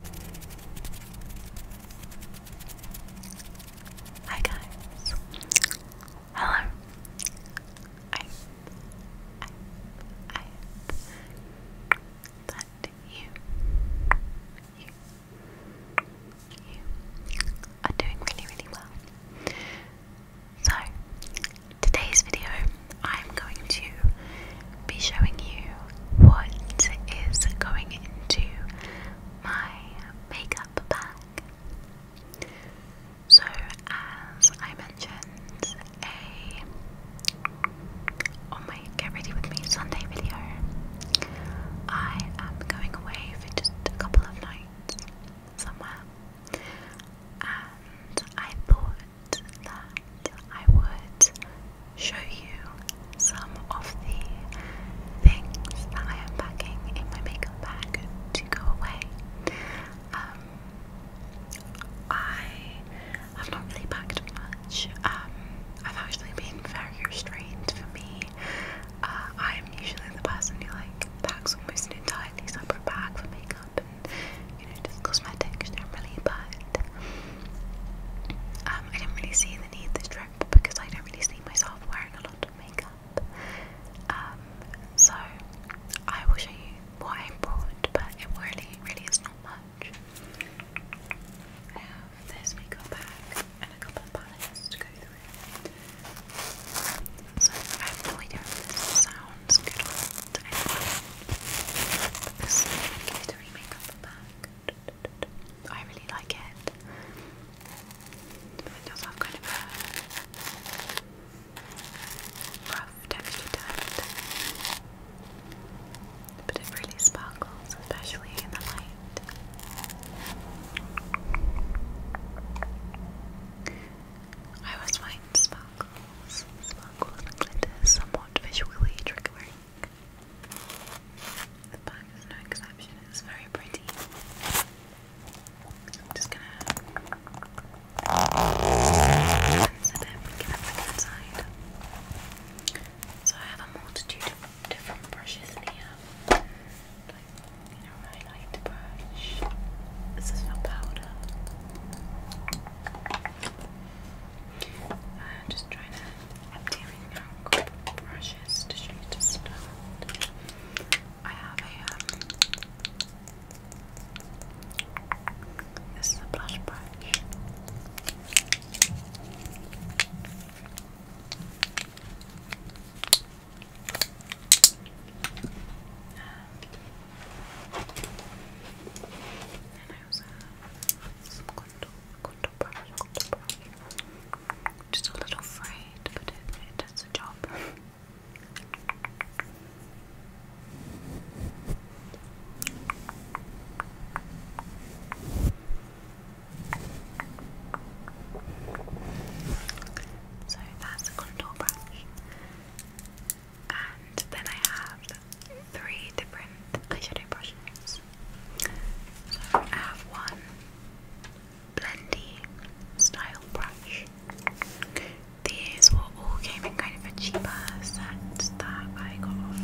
Hi guys. Hello. I I I that you you you are doing really really well. So today's video I'm going to be showing you what is going into my makeup bag. So, as I mentioned, a on my Get Ready With Me Sunday video, I am going away for just a couple of nights somewhere, and I thought that I would show you some of the things that I am packing in my makeup bag to go away. Um, I have not really packed much. Um, I've actually been very restrained for me. Uh, I am usually the person who like packs almost an entirely separate bag for makeup and you know just cosmetics really bad. Um, I didn't really see the need for this trip because I don't really see myself wearing a lot of makeup. Um, so I will show you what I brought, but it really, really is not much. I have this makeup bag and a couple of palettes to go through. So I have no idea if this sounds good this is a glittery makeup bag. I really like it. it does have kind of a rough texture to it. But it really sparkles, especially in the light. I always find sparkles, sparkles and glitter somewhat visually triggering. The back is no exception, it's very pretty. I'm just gonna cleanse it and get it back inside. So I have a multitude of different brushes here. Like, you highlight brush. This is for powder. I'm just trying to I'm tearing out brushes to start. I have a um, this is a blush brush. And I also have some contour just a little afraid, but it, it does the job. So that's a contour brush. And then I have three different eyeshadow brushes. So I have one blendy style brush. These were all came in kind of a cheaper set that I got off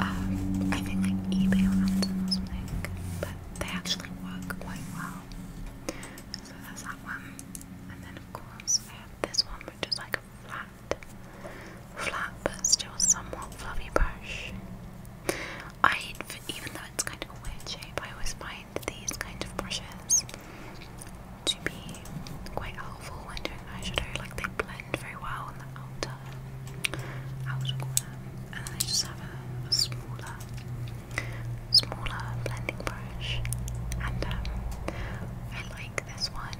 um, I think like eBay or something. But they actually work quite well. So that's that one. And then of course I have this one which is like a flat flat, but still somewhat fluffy brush. I, even though it's kind of a weird shape, I always find these kind of brushes to be quite helpful when doing eyeshadow. Like they blend very well on the outer, outer corner, and then I just have a, smaller, smaller blending brush. And um, I like this one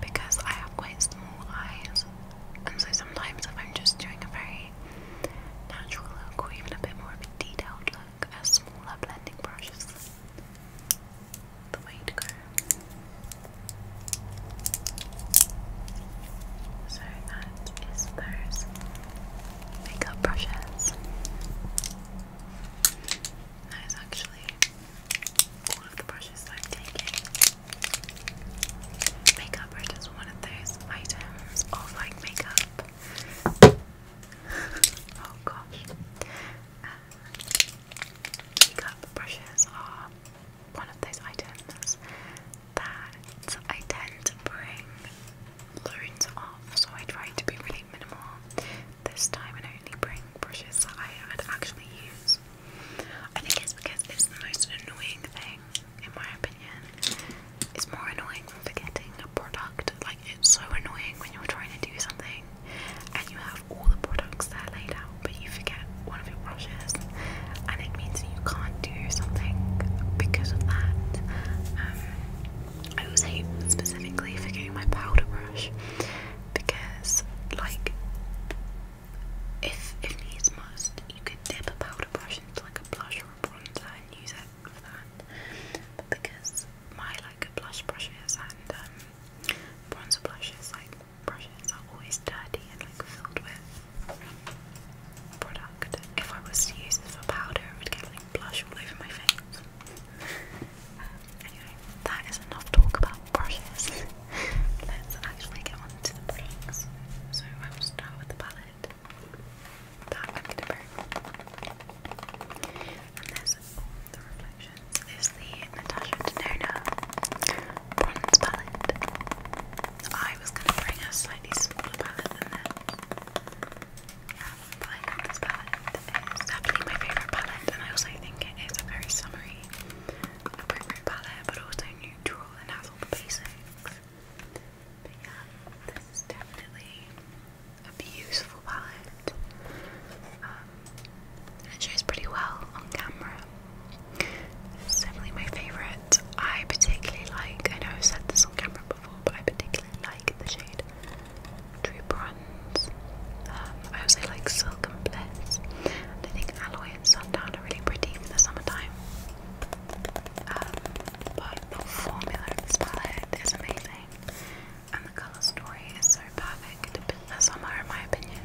because I have quite small eyes, and so sometimes if I'm just doing a very natural look or even a bit more of a detailed look, a smaller blending brush the way to go. So that is those makeup brushes. That is actually all of the brushes I'm taking. Makeup brush is one of those items of like makeup. oh gosh. Uh, makeup brushes are one of those items that I tend to bring loads of, so I try to be really minimal this time and only bring brushes that I would actually use. I think it's because it's the most annoying thing, in my opinion. It's more annoying than forgetting a product. Like, it's so annoying when you're trying to do something and you have all the products there laid out, but you forget one of your brushes, and it means that you can't do something because of that. Um, I was hate specifically forgetting my powder brush because like if if needs must, you could dip a powder brush into like a blush or a bronzer and use it for that. because my like blush brushes and um, bronzer brushes, like brushes, are always dirty and like filled with product. If I was to use this for powder, I would get like blush all over my face anyway, that is enough talk about brushes. Let's actually get on the products. So I will start with the palette that I'm going Is the Natasha Denona bronze palette. I was going to bring a slightly smaller palette than this. but I love this palette is definitely my favourite palette, and I also think it is a very summery, appropriate palette, but also neutral and has all the basics. But yeah, this definitely a beautiful palette. Um, it shows pretty well on camera. definitely my favourite. I particularly like, I know I've said this on camera before, but I particularly like the shade True Bronze. Um, I also like Silk and Bliss. And I think Alloy and Sundown are really pretty for the summertime. Um, but the formula of this palette is amazing. And the colour story is so perfect for the summer in my opinion.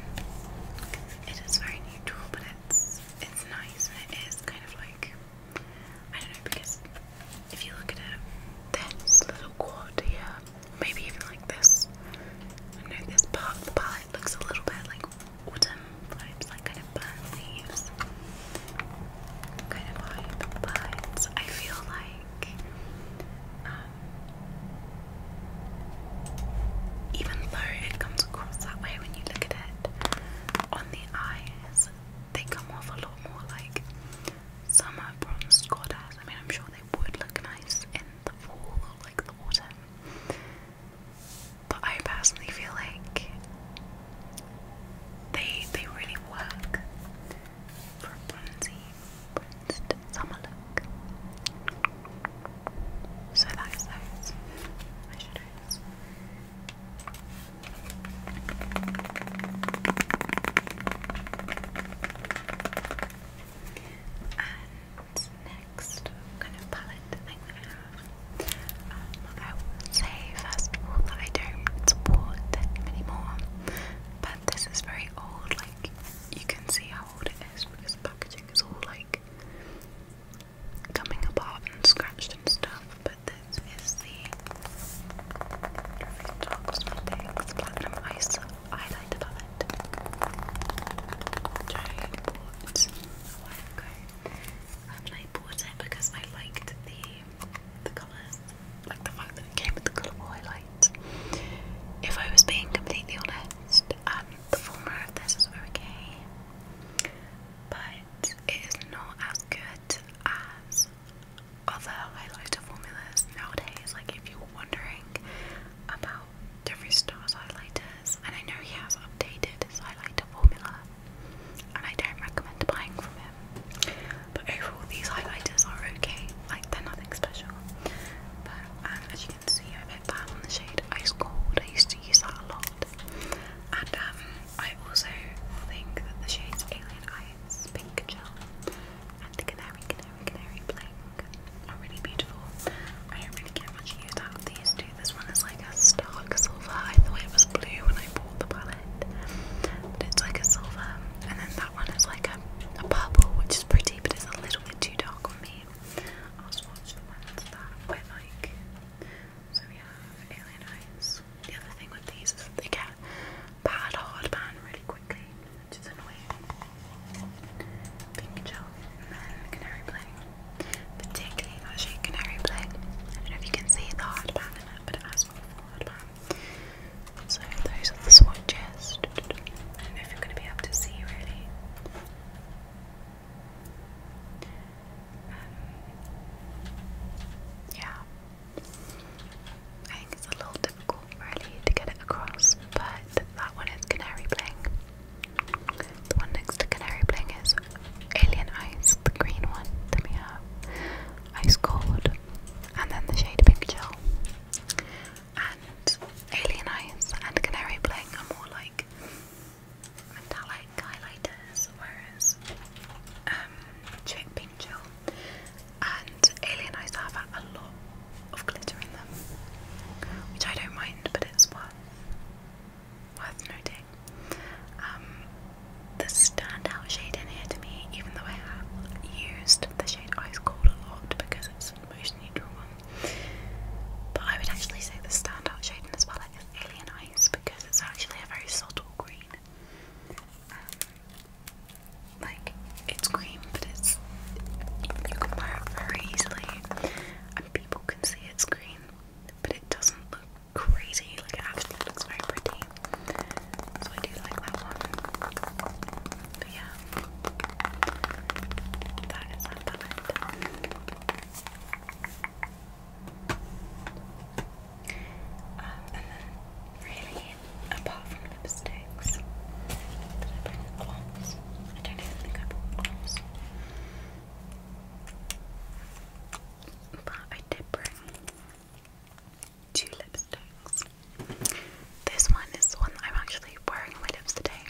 It is very neutral but it's it's nice it is kind of like I don't know because if you look at it, there's little quad here maybe even like this. I know this part of the palette looks a little bit like autumn vibes, like kind of burnt leaves kind of vibe, but I feel like um, even though it comes across that way when you look at it on the eyes, they come off a lot more like summer bronzed goddess. I mean, I'm sure they would look nice in the fall, like the autumn. But I personally feel like they they really work for a bronzy, bronzed summer look. So that is those and next kind of palette that I have, um, I will say first of all that I don't support anymore, but this is very old, like you can see how old it is because the packaging is all like coming apart and scratched and stuff, but this is the Detox Medics Platinum Ice highlighted on I bought it because I liked the the colours, like the fact that it came with the colourful highlights. If I was being completely honest, um, the former of this is okay, but it is not as good as other highlighter formulas nowadays. Like, if you were wondering, about Jeffree Star's highlighters, and I know he has updated his highlighter formula, and I don't recommend buying from him. But overall, these highlighters are okay, like they're nothing special. But um, as you can see, I've hit that on the shade Ice Cold. I used to use that a lot, and um, I also think that the shades Alien Eyes Pink Gel and the Canary Canary and canary really beautiful. I don't really get much use out of these two. This one is like a stark silver. I thought it was blue when I bought the palette, but it's like a silver. And then that one is like a, a purple, which is pretty, but it's a little bit too dark for me. I'll swatch the ones that I like. So we have Alien Eyes. The other thing with these is that they bad hard really quickly, which is annoying. Pink gel then canary black. Particularly that shade canary black. I don't know if you can see the hard in it, but it has wonderful hard So those are the swatches. I don't know if you're gonna be able to see really. Um, yeah. I think it's a little difficult really to get it across, but that one is Canary Bling. The one next to Canary Bling is Alien Ice, the green one that we have, Ice Cold, and then the shade Pink Chill. And Alien Ice and Canary Bling are more like metallic highlighters, whereas um, Pink Chill and Alien ice have a lot of glitter in them, which I don't mind, but it's worth worth noting. Um, the standout shade in here to me, even though I have used the shade Ice Cold a lot because it's the neutral one, but I would actually say the standout shade in this is Alien Eyes because it's actually a very subtle green. Um, like it's cream, but it's you can wear it very easily, and people can see it's green, but it doesn't look crazy. Like it actually looks very pretty. So I do like that one. But yeah, that is that palette. Um, and then really apart from lipsticks. Did I bring lip I don't even think I bought lip But I did bring two lipsticks. This one is the one that I'm actually wearing on my lips today,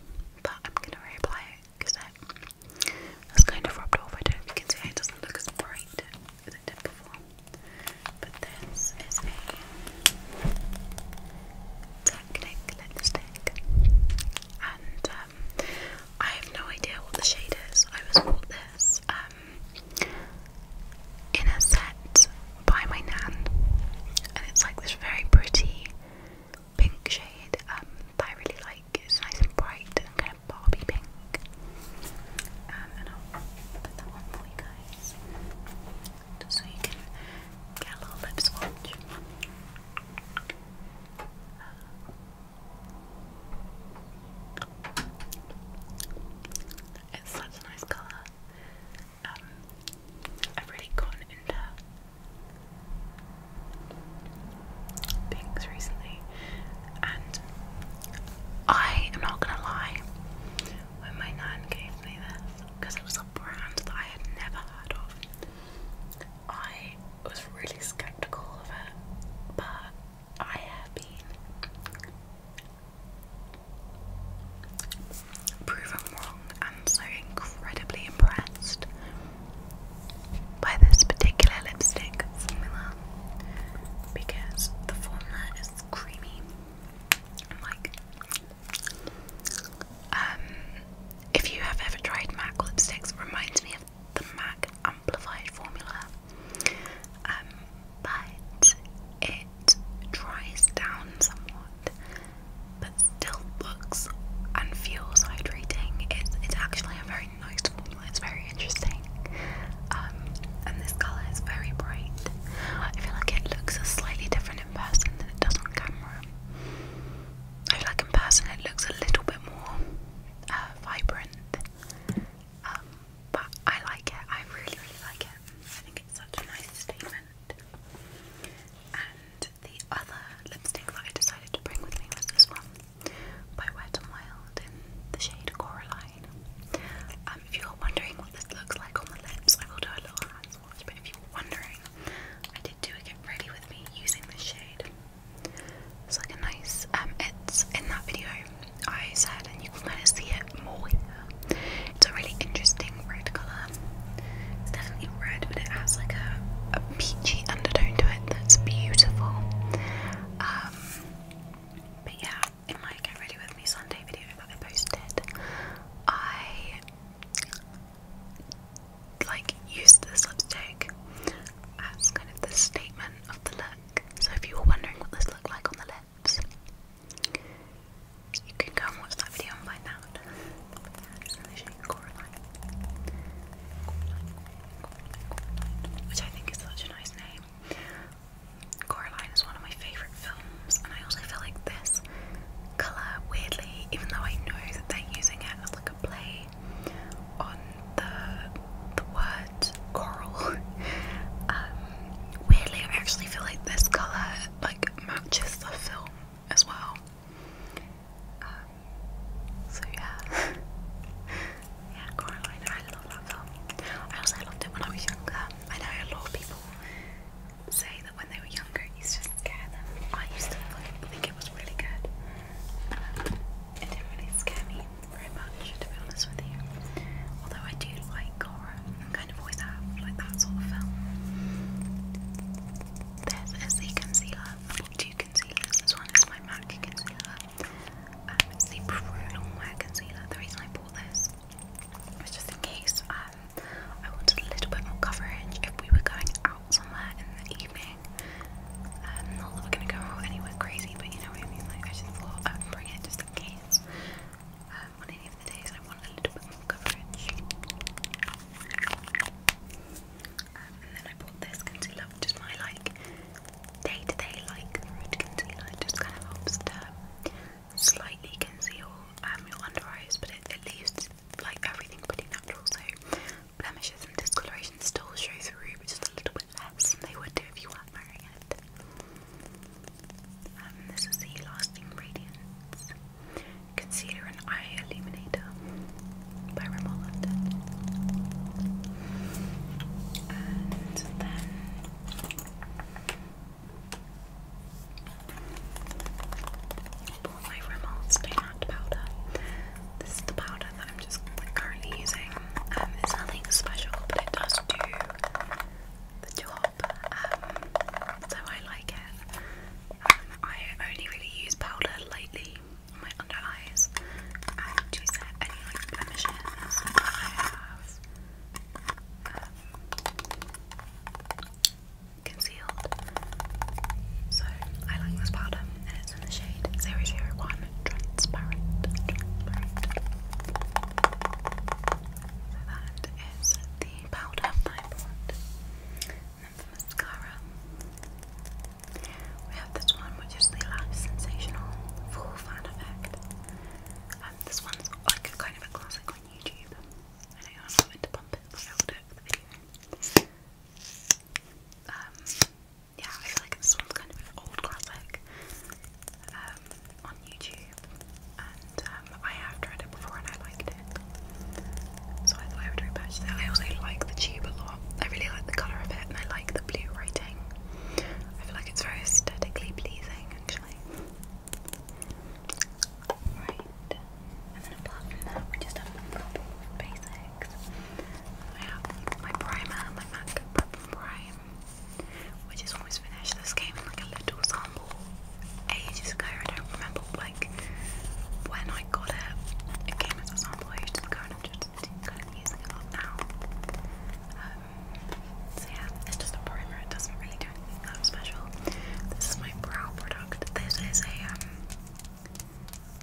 but I'm gonna reapply it because it has kind of rubbed off. I don't know if you can see it doesn't look as bright as it did before. But this is a Technic lipstick, and um, I have no idea what the shade is. I was bought this um, in a set by my nan, and it's like this very pretty pink shade um, that I really like. It's nice and bright and kind of Barbie pink. Um, and I'll put that one for you guys so you can get a little lip swatch. It's such a nice colour. Um, I've really gotten into pinks recently, and I am not gonna lie, when my nan gave me this, because it was a brand that I had never heard of. I was really skeptical of it, but I have been proven wrong and so incredibly impressed by this particular lipstick formula because the formula is creamy um, if you have ever tried MAC lipsticks, reminds me of the MAC amplified formula. Um, but it dries down somewhat, but still looks and feels hydrating. It's it's actually a very nice formula. It's very interesting. Um, and this color is very bright. I feel like it looks a slightly different in person than it does on camera. I like in person it looks a little bit more uh, vibrant, um, but I like it. I really, really like it. I think it's such a nice statement. And the other lipstick that I decided to bring with me was this one by Wet n Wild in the shade Coraline. Um, if you're wondering what this looks like on the lips, I will do a little hand but if you were wondering, I did do a get ready with me using this shade. It's like a nice, um, it's in that video I said, and you can kind of see it more It's a really interesting red colour. It's definitely red, but it has like a, peachy undertone to it that's beautiful. Um, but yeah, in my Get Ready With Me Sunday video that I posted, I like use this lipstick as kind of the statement of the look. So if you were wondering what this looked like on the lips, you can go and watch that video and find out. which I think is such a nice name. Coraline is one of my favourite films, and I also feel like this colour weirdly, even though I know that they're using it as like a play on the the word coral. Um, weirdly, I actually feel like this colour like matches the film as well. Um, so yeah, yeah, Coraline. I love that film. I also loved it when I was younger. I know a lot of people say that when they were younger it used to scare them. I used to like, think it was really good. Um, it didn't really scare me very much, to be honest with you. Although I do like horror, and kind of always have, like that sort of film. There's a Z concealer. two concealers. This one is my MAC concealer. Um, it's the concealer. The reason I bought this just in case um, I wanted a little bit more coverage if we were going out somewhere in the evening. Um, not that we're going to go anywhere crazy, but you know what I mean? Like, I just thought I would bring it just in case. Um, on any of the days I want a little bit more coverage. Um, and then I bought this concealer, which my like day to day like root concealer. just kind of helps to slightly conceal um, your under eyes, but it, it leaves like everything pretty natural. So blemishes and discoloration still show through, but just a little bit less they would do if you weren't wearing it. Um, this is the Lasting Radiance Concealer and Eye Illuminator by Rimmel And then Pull my remote stand powder. This is the powder that I'm just currently using. Um, it's nothing special, but it does do the job. Um, so I like it. Um, I only really use powder lately on my under eyes and to set any like I have concealed. So I like this powder and it's in the shade 001 Transparent. Transparent. that is the powder I bought. And then for mascara, we have this one which is the Lash Sensational Full Fan Effect. Um, this one's like kind of a classic on YouTube. I um, yeah, I feel like this one's kind of an old classic um, on YouTube, and um, I have tried it before and I liked it, so I thought I would repurchase it. I also like the tube a lot. I really like the colour of it, and I like the blue writing. I feel like it's very aesthetically pleasing, actually. Right. And then apart that, we just have a couple I have my primer, my MAC Prime, which is almost finished. This came in like a little sample ages ago. I don't remember like when I got it. It came as a sample ages ago and I'm just kind of using it up now. Um, so yeah, it's just a primer. It doesn't really do special. This is my brow product. This is a um,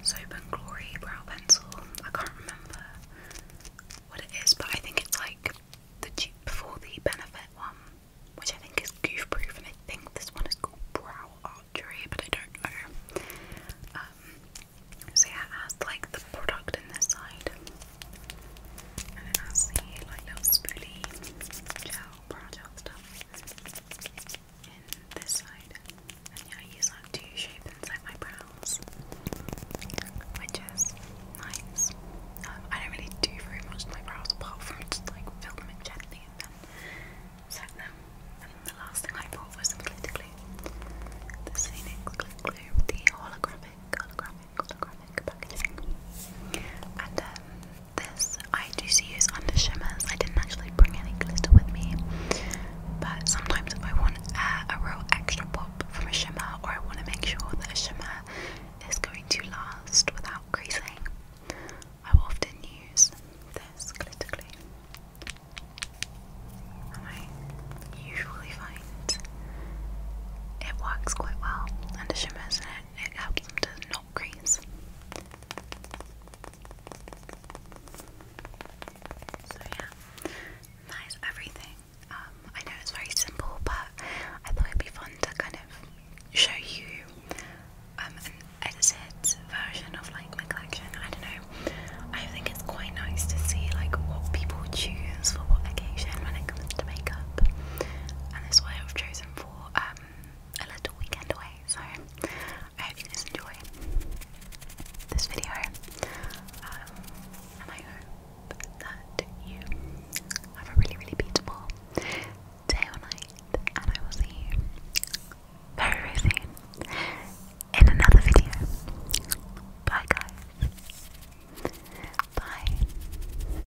Soap and Glory brow pencil. I can't remember what it is, but I think it's like the dupe the Benefit one, which I think is goof proof, and I think this one is called Brow Archery, but I don't know. Um, so yeah, it has like the product in this side, and it has the like little spoolie gel I use that to shape inside my brows, which is nice. Um, I don't really do very much to my brows apart from just like fill them in gently and then set them. And then the last thing I bought was some glitter glue. The Scenic Glitter Glue, the holographic, holographic, holographic. Um, this I do use under shimmers. I didn't actually bring any glitter with me, but sometimes if I want uh, a real extra pop from a shimmer, or I want to make sure that a shimmer is going to last without creasing, I will often use this glitter glue. And I usually find it works quite well under shimmers and and it helps them to not crease. So yeah, that is everything. Um, I know it's very simple, but I thought it'd be fun to kind of show you um, an edited version of like my collection. I don't know. I think it's quite nice to see like what people choose for what occasion when it comes to makeup, and that's why I've chosen for um, a weekend away. So I hope you guys enjoy this video, um, and I hope that you have a really, really beautiful day or night. And I will see you very, very soon in another video. Bye, guys. Bye.